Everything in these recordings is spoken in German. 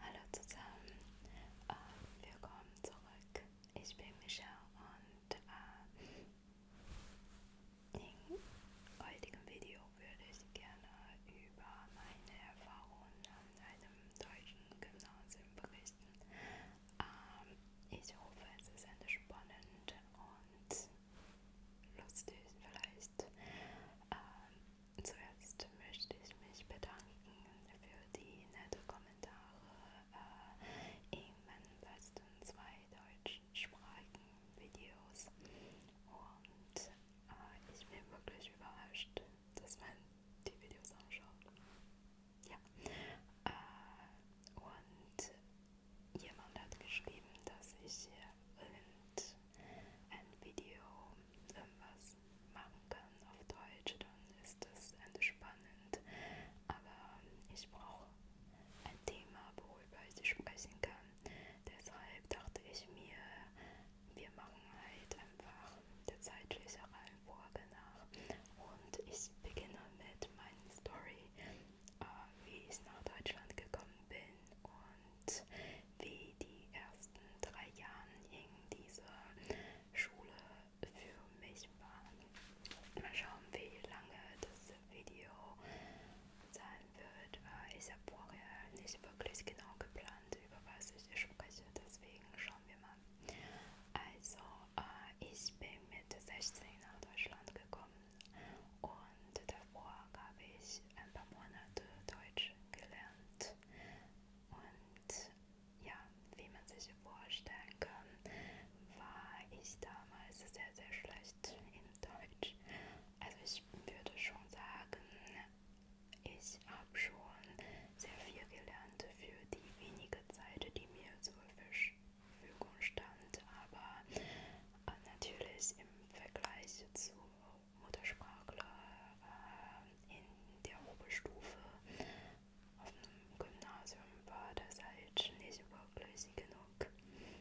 Hallo zusammen, ähm, willkommen zurück. Ich bin Michelle und äh, in heutigem Video würde ich gerne über meine Erfahrungen an einem deutschen Gymnasium berichten. Ähm, ich hoffe, es ist entspannend und lustig vielleicht. Ähm, Zuerst möchte ich mich bedanken für die netten Kommentare äh, in meinen letzten zwei deutschsprachigen Videos und äh, ich bin wirklich überrascht, dass man die Videos anschaut. Ja. Äh, und jemand hat geschrieben, dass ich äh, irgend ein Video irgendwas ähm, machen kann auf Deutsch, dann ist das entspannend. Aber ich brauche ein Thema, worüber ich sprechen kann. Deshalb dachte ich mir, wir machen halt einfach der zeitliche Reihenfolge nach. Und ich beginne mit meiner Story, äh, wie ich nach Deutschland gekommen bin und wie die ersten drei Jahren hing diese Schule für mich war. Mal schauen, wie lange das Video sein wird. Ich habe vorher nicht wirklich genau geplant, über was ich spreche, deswegen schauen wir mal. Also, äh, ich bin mit 16 nach Deutschland gekommen und davor habe ich ein paar Monate Deutsch gelernt. Und ja, wie man sich vorstellen kann, war ich damals sehr, sehr schlecht in Deutsch. Also ich würde schon sagen, ich habe schon sehr viel gelernt für die wenige Zeit, die mir zur Verfügung stand. Aber natürlich im Vergleich zu Muttersprachler äh, in der Oberstufe auf dem Gymnasium war das halt nicht überflüssig genug. Okay,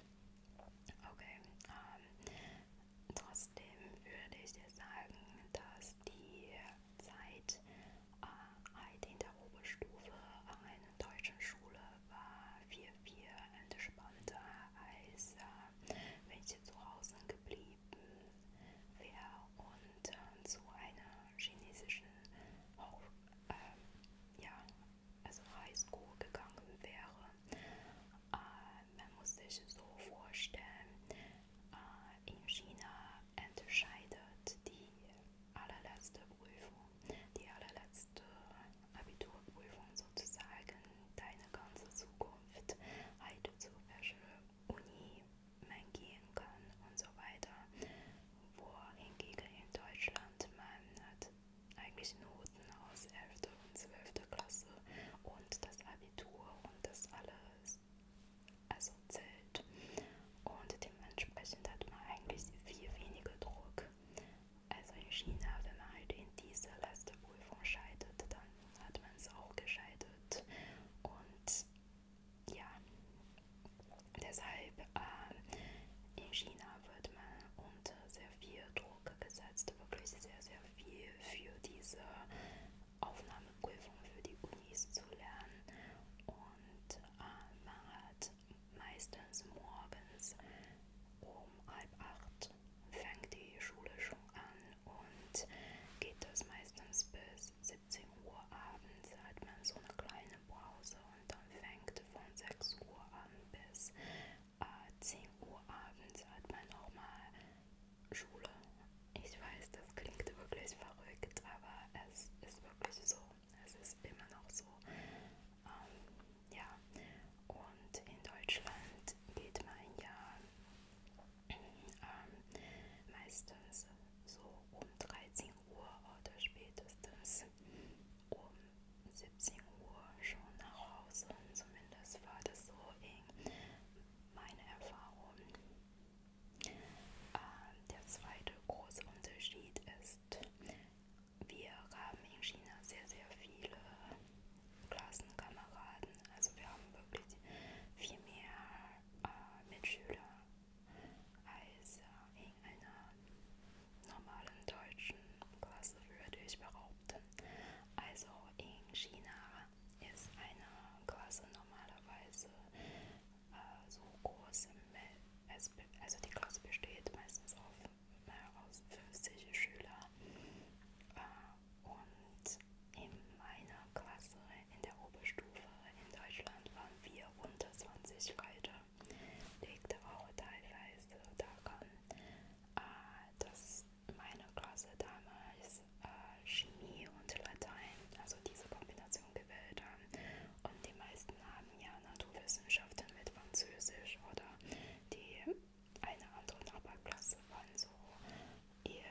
ähm, trotzdem würde ich jetzt sagen, dass die Zeit äh, halt in der Oberstufe an einer deutschen Schule war 4-4 entspannter als äh, welche zu Hause geblieben wäre und äh, zu einer chinesischen auch, äh, ja, also Highschool gegangen wäre. Äh, man muss sich so vorstellen, äh, in China entscheidet die allerletzte Prüfung, die allerletzte Abiturprüfung sozusagen deine ganze Zukunft halt zu welcher Uni man gehen kann und so weiter. Wohingegen in Deutschland man hat eigentlich Noten aus 11. und 12. Klasse und das Abitur und das alles also zählt und dementsprechend hat man eigentlich viel weniger Druck also in China, wenn man halt in dieser letzten Prüfung scheitert, dann hat man es auch gescheitert. Und ja, deshalb äh, in China wird man unter sehr viel Druck gesetzt, wirklich sehr, sehr viel für diese Aufnahmeprüfung für die Unis zu lernen. Und äh, man hat meistens morgens um halb acht fängt die Schule schon an und geht das meistens bis 17 Uhr abends, hat man so eine kleine Pause und dann fängt von 6 Uhr an bis äh, 10 Uhr abends hat man nochmal Schule. Ich weiß, das klingt wirklich verrückt, aber es ist wirklich so. Es ist immer noch so. Ähm, ja, und in Deutschland geht man ja ähm, meistens so um 13 Uhr oder spätestens um 17 Uhr schon nach Hause. Zumindest war das so in meiner Erfahrung. Ähm, der zweite große Unterschied ist, wir haben in China sehr, sehr viele Klassenkameraden. Also wir haben wirklich viel mehr äh, Mitschüler als äh, in einer normalen deutschen Klasse, würde ich behaupten. Also in China ist eine Klasse normalerweise äh, so groß, also die Klasse besteht meistens auf heraus 50 Schüler äh, und in meiner Klasse in der Oberstufe in Deutschland waren wir unter 20 Leute. Liegt auch teilweise daran, äh, dass meine Klasse damals äh, Chemie und Latein, also diese Kombination gewählt haben und die meisten haben ja Naturwissenschaften mit Französisch oder die eine andere Aberklasse waren so ihr,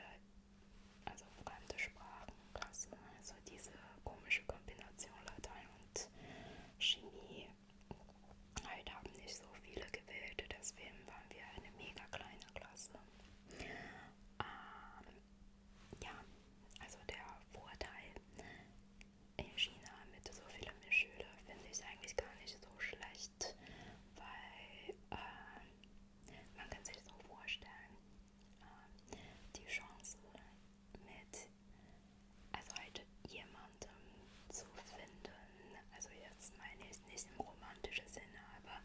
also fremde Sprachenklasse, also diese komische Kombination Latein und Chemie. Halt haben nicht so viele gewählt, deswegen waren wir eine mega kleine Klasse. Ähm, ja, also der Vorteil in China mit so vielen Schülern finde ich eigentlich gar nicht so schlecht, weil äh, man kann sich so vorstellen, äh, die Chance mit also halt jemandem zu finden, also jetzt meine ich nicht im romantischen Sinne, aber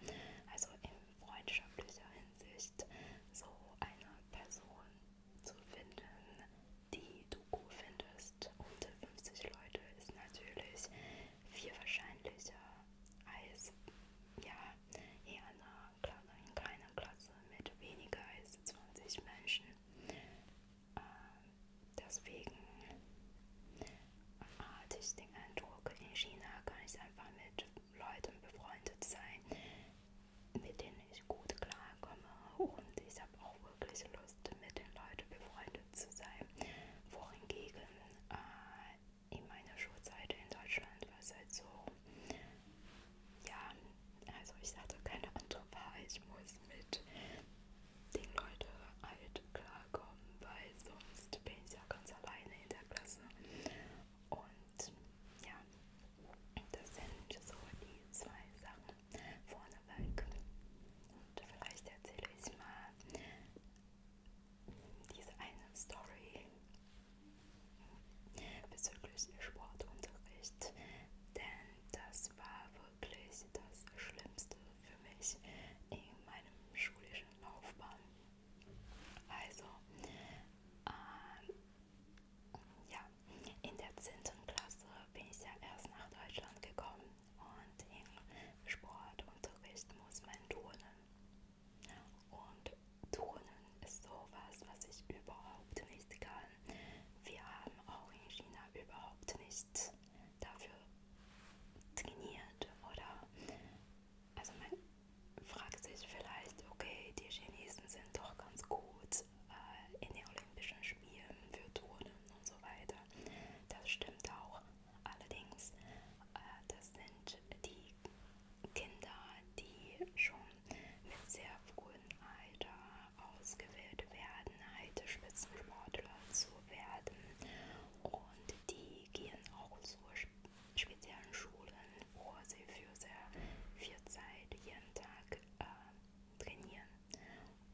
also in freundschaftlicher Hinsicht so eine Person zu finden. Die Doku findest unter 50 Leute ist natürlich viel wahrscheinlicher als ja, in einer, kleinen, in kleiner Klasse mit weniger als 20 Menschen. Ähm, deswegen hatte ich den Eindruck, in China kann ich einfach mit Leuten befreundet sein, mit denen ich gut klarkomme und ich habe auch wirklich Lust, mit den Leuten befreundet zu sein. Wohingegen äh, in meiner Schulzeit in Deutschland war es halt so, ja, also ich hatte keine andere Wahl, ich muss mit den Leuten halt klarkommen, weil sonst bin ich ja ganz alleine in der Klasse. Und ja, das sind so die zwei Sachen vorneweg. Und vielleicht erzähle ich mal diese eine Story bezüglich Sportunterricht, denn das war wirklich das Schlimmste für mich in meinem schulischen Laufbahn. Also, äh, ja, in der 10. Klasse bin ich ja erst nach Deutschland gekommen und im Sportunterricht muss man turnen. Und turnen ist sowas, was ich überhaupt nicht kann. Wir haben auch in China überhaupt nicht dafür trainiert oder also man fragt sich vielleicht, okay, die Chinesen sind doch ganz gut äh, in den Olympischen Spielen für Turnen und so weiter. Das stimmt auch. Allerdings, äh, das sind die Kinder, die schon mit sehr frühem Alter ausgewählt werden, halt Spitzensportler zu werden. Und die gehen auch zu speziellen Schulen Uhr sie für sehr viel Zeit jeden Tag äh, trainieren.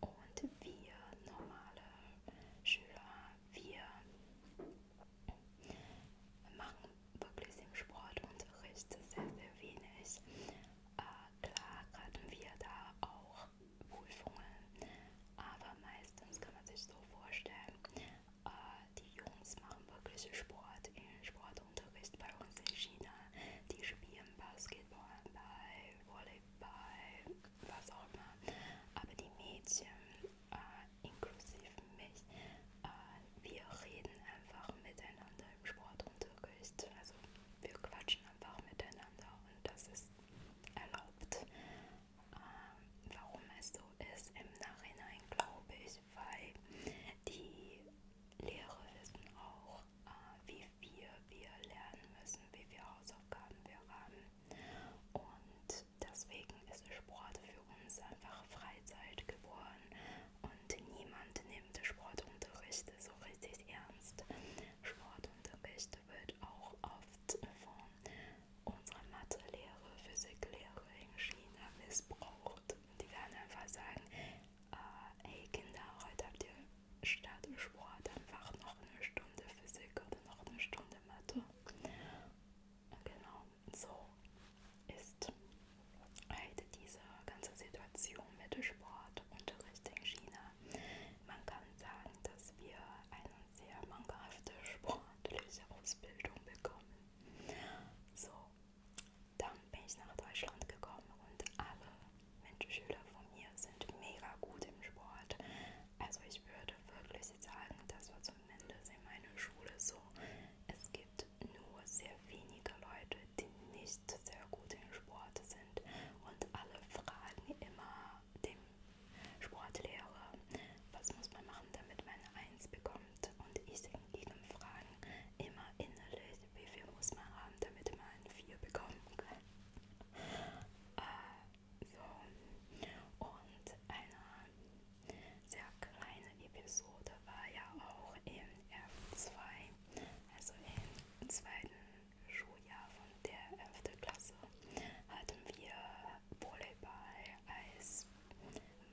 Und wir normale Schüler, wir machen wirklich im Sportunterricht sehr, sehr wenig. Äh, klar hatten wir da auch Prüfungen, aber meistens kann man sich so vorstellen, äh, die Jungs machen wirklich Sport in Sport. Sport unterweist bei uns in China. Die spielen Basketball, bei Volleyball, was auch immer. Aber die Mädchen, äh, inklusive mich, äh, wir reden einfach miteinander im Sportunterricht. Also wir quatschen einfach miteinander und das ist erlaubt. Ähm, warum es so ist im Nachhinein, glaube ich, weil die Lehrer wissen auch, äh, wie viel wir lernen müssen, wie viele Hausaufgaben wir haben. Und deswegen ist Sport für uns einfach Freizeit geworden und niemand nimmt Sportunterricht so richtig ernst. Sportunterricht wird auch oft von unserer Mathelehrer, Physiklehrerin China missbraucht die werden einfach sagen, äh, hey Kinder, heute habt ihr statt Sport einfach noch eine Stunde Physik oder noch eine Stunde Mathe. Genau, so ist halt diese ganze Situation mit dem Sportunterricht in China. Man kann sagen, dass wir eine sehr mangelhafte sportliche Ausbildung bekommen. So, dann bin ich nach Deutschland gekommen und alle Menschen, Schüler von mir sind mega gut im Sport. Also ich würde wirklich sagen, das war zumindest in meiner Schule so. Es gibt nur sehr wenige Leute, die nicht sehr gut im Sport sind und alle fragen immer dem Sportlehrer, was muss man machen, damit man eine Eins bekommt. Abend und ich in jedem Fragen immer innerlich, wie viel muss man haben, damit man ein 4 bekommen kann. Äh, so. Und eine sehr kleine Episode war ja auch im F2, also im zweiten Schuljahr von der 11. Klasse, hatten wir Volleyball als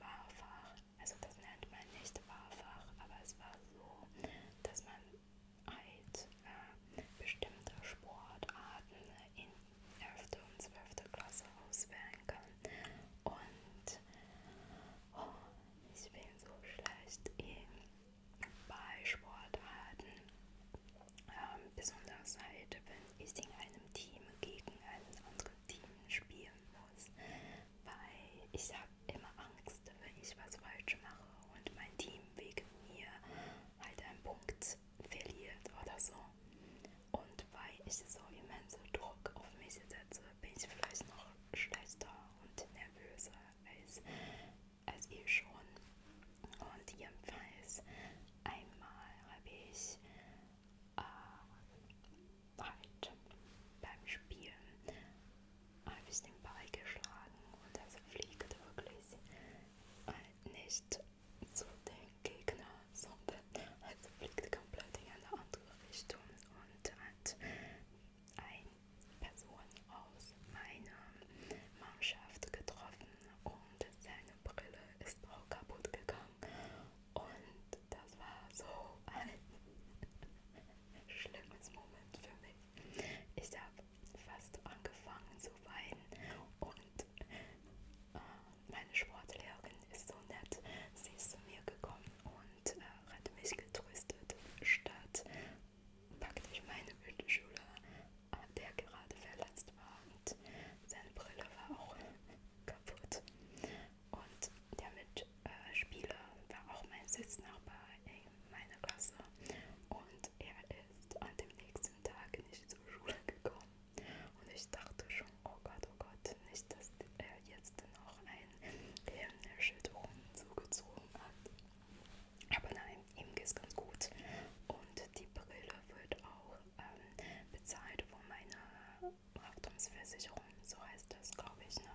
Wahlfach also das nennt man nicht Wahlfach, aber es war so, dass man halt äh, bestimmte Sportarten in 11. und 12. Klasse auswählen kann. Und oh, ich bin so schlecht in, bei Sportarten, ähm, besonders halt, wenn ich in einem Team gegen ein anderes Team spielen aus, weil ich habe immer Angst, wenn ich was falsch mache und mein Team wegen mir halt einen Punkt verliert oder so. Und weil ich so immense Druck auf mich setze, bin ich vielleicht noch schlechter und nervöser als, als ich schon. Und jedenfalls einmal habe ich äh, halt beim Spielen ein bisschen beigeschlagen und das fliegt wirklich äh, nicht zu den Gegner, sondern es halt fliegt komplett in eine andere Richtung und hat eine Person aus meiner Mannschaft getroffen und seine Brille ist auch kaputt gegangen und das war so ein schlimmes Moment für mich. Ich habe fast angefangen zu weinen und äh, meine Sportlehrerin ist so nett, sie ist zu mir gekommen und äh, hat mich getröstet, statt praktisch meine Mittelschüler, der gerade verletzt war und seine Brille war auch kaputt. Und der Mitspieler äh, war auch mein Sitznachbar in meiner Klasse und er ist an dem nächsten Tag nicht zur Schule gekommen. Und ich dachte schon, oh Gott, oh Gott, nicht, dass er jetzt noch eine Gehirnerschütterung zugezogen hat. Aber nein, ihm geht's ganz gut. Und die Brille wird auch ähm, bezahlt von meiner Haftungsversicherung, so heißt das, glaube ich. Ne?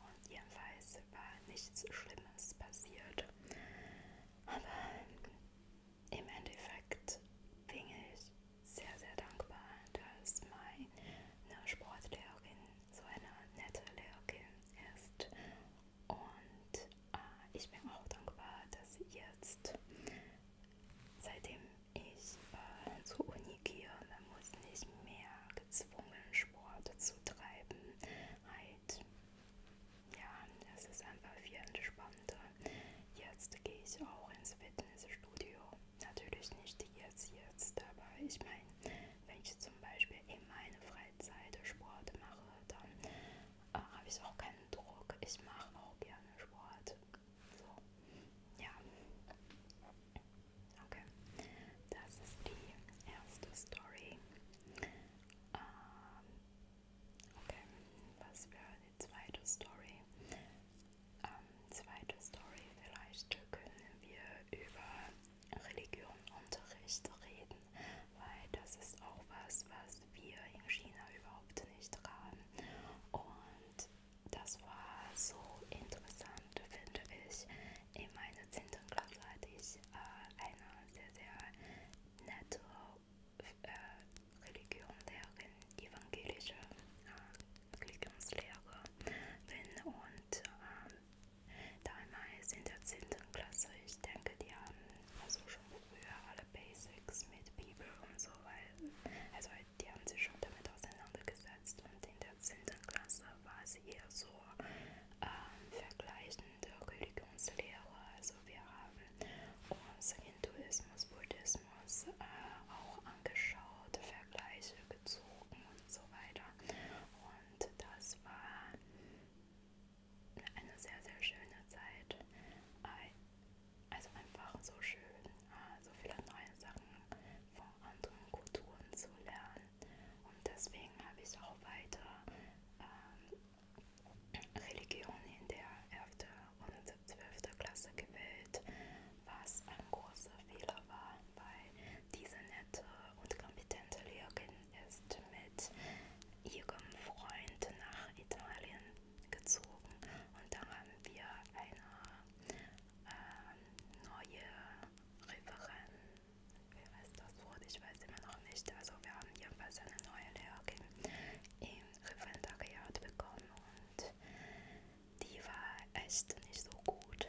Und jedenfalls war nichts Schlimmes passiert. Aber im Endeffekt bin ich sehr, sehr dankbar, dass meine Sportlehrerin so eine nette Lehrerin ist. Und äh, ich bin auch dankbar, dass sie jetzt Seitdem ich äh, zur Uni gehe, man muss nicht mehr gezwungen Sport zu treiben. Halt, ja, es ist einfach viel entspannter. Jetzt gehe ich auch ins Fitnessstudio. Natürlich nicht jetzt, jetzt, aber ich meine, wenn ich zum Beispiel in meiner Freizeit Sport mache, dann äh, habe ich auch keinen Druck. Ich mache auch gerne Sport. So. Ja. Okay. Das ist die erste Story. Ähm, okay. Was wäre die zweite Story? Ähm, zweite Story, vielleicht können wir über Religion Unterricht reden, weil das ist auch was, was wir in China überhaupt nicht haben. Und das war so interessant, finde ich. In meiner 10. Klasse hatte ich äh, eine sehr, sehr nette äh, Religionslehrerin, evangelische äh, Religionslehrer bin und äh, damals in der 10. Klasse, ich denke, die haben also schon früher alle Basics mit Bibel und so weiter. Also die haben sich schon damit auseinandergesetzt und in der 10. Klasse war es eher so ähm, vergleichende Religionslehre. Also wir haben uns Hinduismus, Buddhismus äh, auch angeschaut, Vergleiche gezogen und so weiter. Und das war eine sehr, sehr schöne Zeit. Also einfach so schön, ah, so viele neue Sachen von anderen Kulturen zu lernen. Und deswegen habe ich auch weiter ähm, Religion in der 11. und 12. Klasse gewählt, was ein großer Fehler war, weil diese nette und kompetente Lehrerin ist mit ihrem Freund nach Italien gezogen und da haben wir eine ähm, neue Referentin. Wer weiß das Wort? Ich weiß immer noch nicht. Also wir haben jedenfalls eine neue Lehrerin im Referendariat bekommen und die war echt nicht so gut.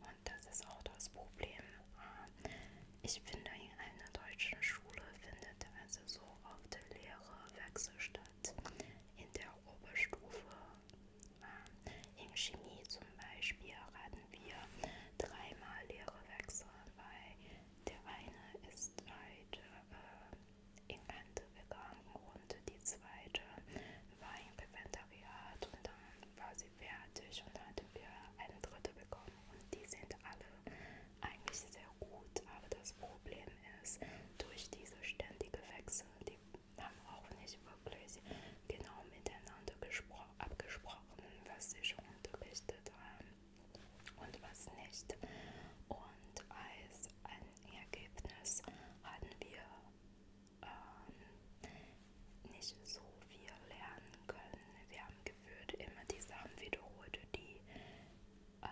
Und das ist auch das Problem. Ähm, ich finde, in einer deutschen Schule findet also so auf der Lehrerwechselstadt in der Oberstufe. Ähm, in Chemie zum Beispiel hatten wir dreimal Lehrerwechsel, weil der eine ist halt äh, in Kante gegangen und die zweite war im Referendariat und dann war sie fertig und dann hatten wir einen dritten bekommen und die sind alle eigentlich sehr gut, aber das Problem ist, durch diese ständige Wechsel, die haben auch nicht wirklich genau miteinander abgesprochen, was sie schon unterrichtet haben und was nicht. Und als ein Ergebnis hatten wir ähm, nicht so viel lernen können. Wir haben gefühlt immer die Sachen wiederholt, die äh,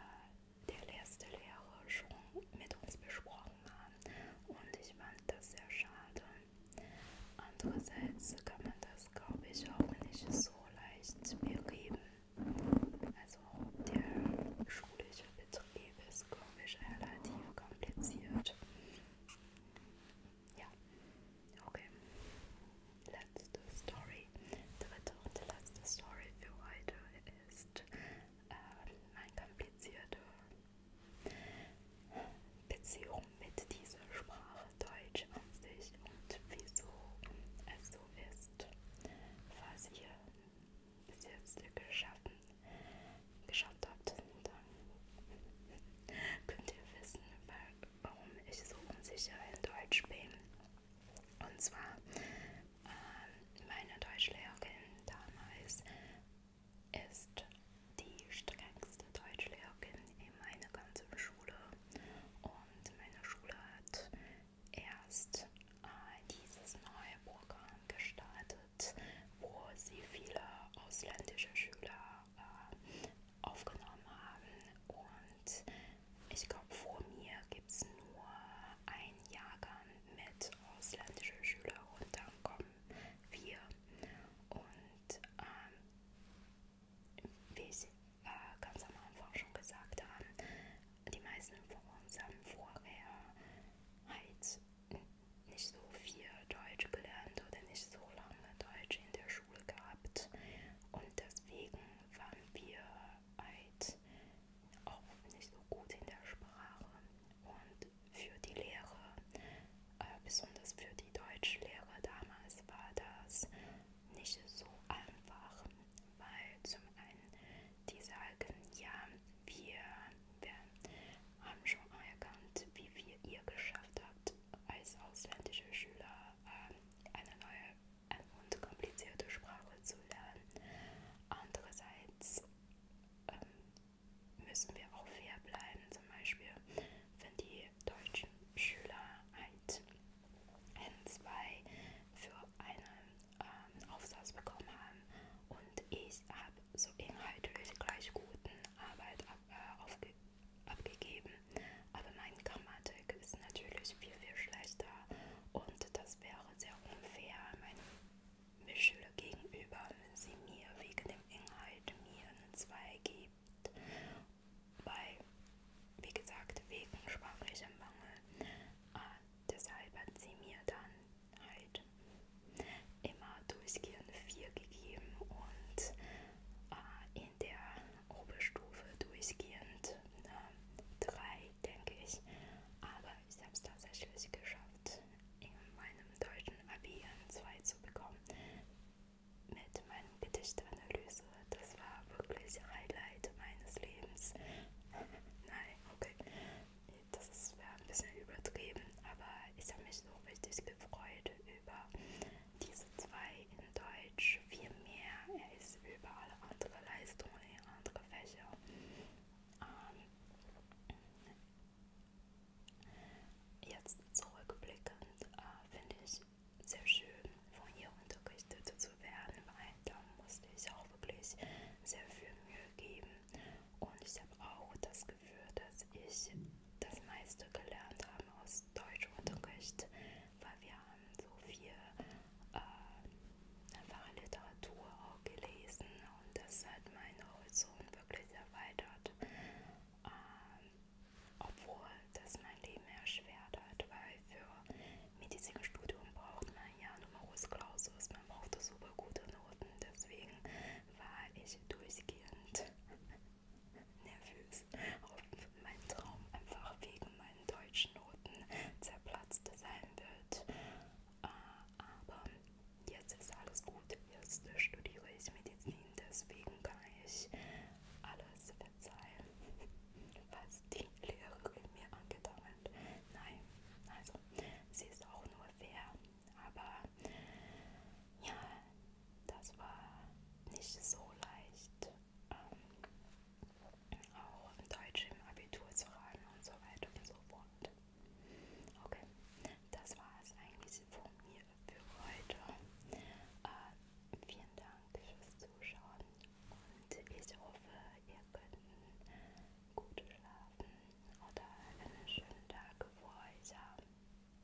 der letzte Lehrer schon mit uns besprochen haben. Und ich fand das sehr schade. Andererseits kann man das, glaube ich, auch nicht so leicht beheben. Also der schulische Betrieb ist, glaube ich, relativ kompliziert. Ja, okay letzte Story. Dritte und letzte Story für heute ist äh, meine komplizierte Beziehung mit dieser Sprache Deutsch an sich und wieso es so ist. Falls ihr bis jetzt geschaffen, geschafft habt, dann könnt ihr wissen, warum ich so unsicher in Deutsch bin. Und zwar ähm, meine Deutschlehrerin damals ist die strengste Deutschlehrerin in meiner ganzen Schule und meine Schule hat erst äh, dieses neue Programm gestartet, wo sie viele ausländische Schüler äh, aufgenommen haben. Und ich glaube, vor mir gibt es nur ein Jahrgang mit ausländischen Schülern und dann kommen wir. Und ähm, wie ich äh, ganz am Anfang schon gesagt habe, die meisten von uns haben vorher halt nicht so viel Deutsch gelernt oder nicht so lange Deutsch in der Schule gehabt und deswegen waren wir halt auch nicht so gut in der Sprache und für die Lehre, äh, besonders für die Deutschlehre damals war das nicht so einfach, weil zum einen die sagen, ja, wir, wir haben schon anerkannt, wie viel ihr geschafft habt als ausländische Schüler. Äh, eine neue und komplizierte Sprache zu lernen. Andererseits ähm, müssen wir auch fair bleiben. Zum Beispiel, wenn die deutschen Schüler halt N2 für einen ähm, Aufsatz bekommen haben und ich habe so inhaltlich gleich guten Arbeit ab, äh, aufgegeben abgegeben. Aber meine Grammatik ist natürlich viel, viel schlechter und das wäre sehr unfair meinen Schülern gegenüber, wenn sie mir wegen dem Inhalt mir eine 2 gibt. Weil, wie gesagt, wegen sprachlichem Mangel. Äh, deshalb hat sie mir dann halt immer durchgehend 4 gegeben und äh, in der Oberstufe durchgehend äh, drei, denke ich. Aber ich habe es tatsächlich geschafft, in meinem deutschen Abi ein 2 zu bekommen. Mit meinem Gedichtanalyse. Das war wirklich Highlight meines Lebens. Nein, okay. Das ist ein bisschen übertrieben, aber ich habe mich so richtig gefreut über diese zwei in Deutsch viel mehr. Er ist über alle andere Leistungen in andere Fächer. Ähm, jetzt zurückblickend äh, finde ich sehr schön, von ihr unterrichtet zu werden, weil da musste ich auch wirklich sehr viel Mühe geben. Und ich habe auch das Gefühl, dass ich das meiste gelernt habe aus des Deutschunterrichts, weil wir haben so viel äh, einfache Literatur auch gelesen und das hat meinen Horizont wirklich erweitert. Ähm, obwohl das mein Leben erschwert hat, weil für Medizinstudium braucht man ja Numerus Clausus, man braucht super gute Noten, deswegen war ich durchgehend nervös ob mein Traum einfach wegen meinen deutschen Noten zerplatzt sein wird. Äh, aber jetzt ist alles gut. Jetzt studiere ich Medizin, deswegen kann ich alles verzeihen, was die Lehrerin mir angetan hat. Nein, also sie ist auch nur fair, aber ja, das war nicht so leicht, ähm, auch Deutsch im Abitur zu raten und so weiter und so fort. Okay, das war es eigentlich von mir für heute. Äh, vielen Dank fürs Zuschauen und ich hoffe, ihr könnt gut schlafen oder einen schönen Tag vor euch haben.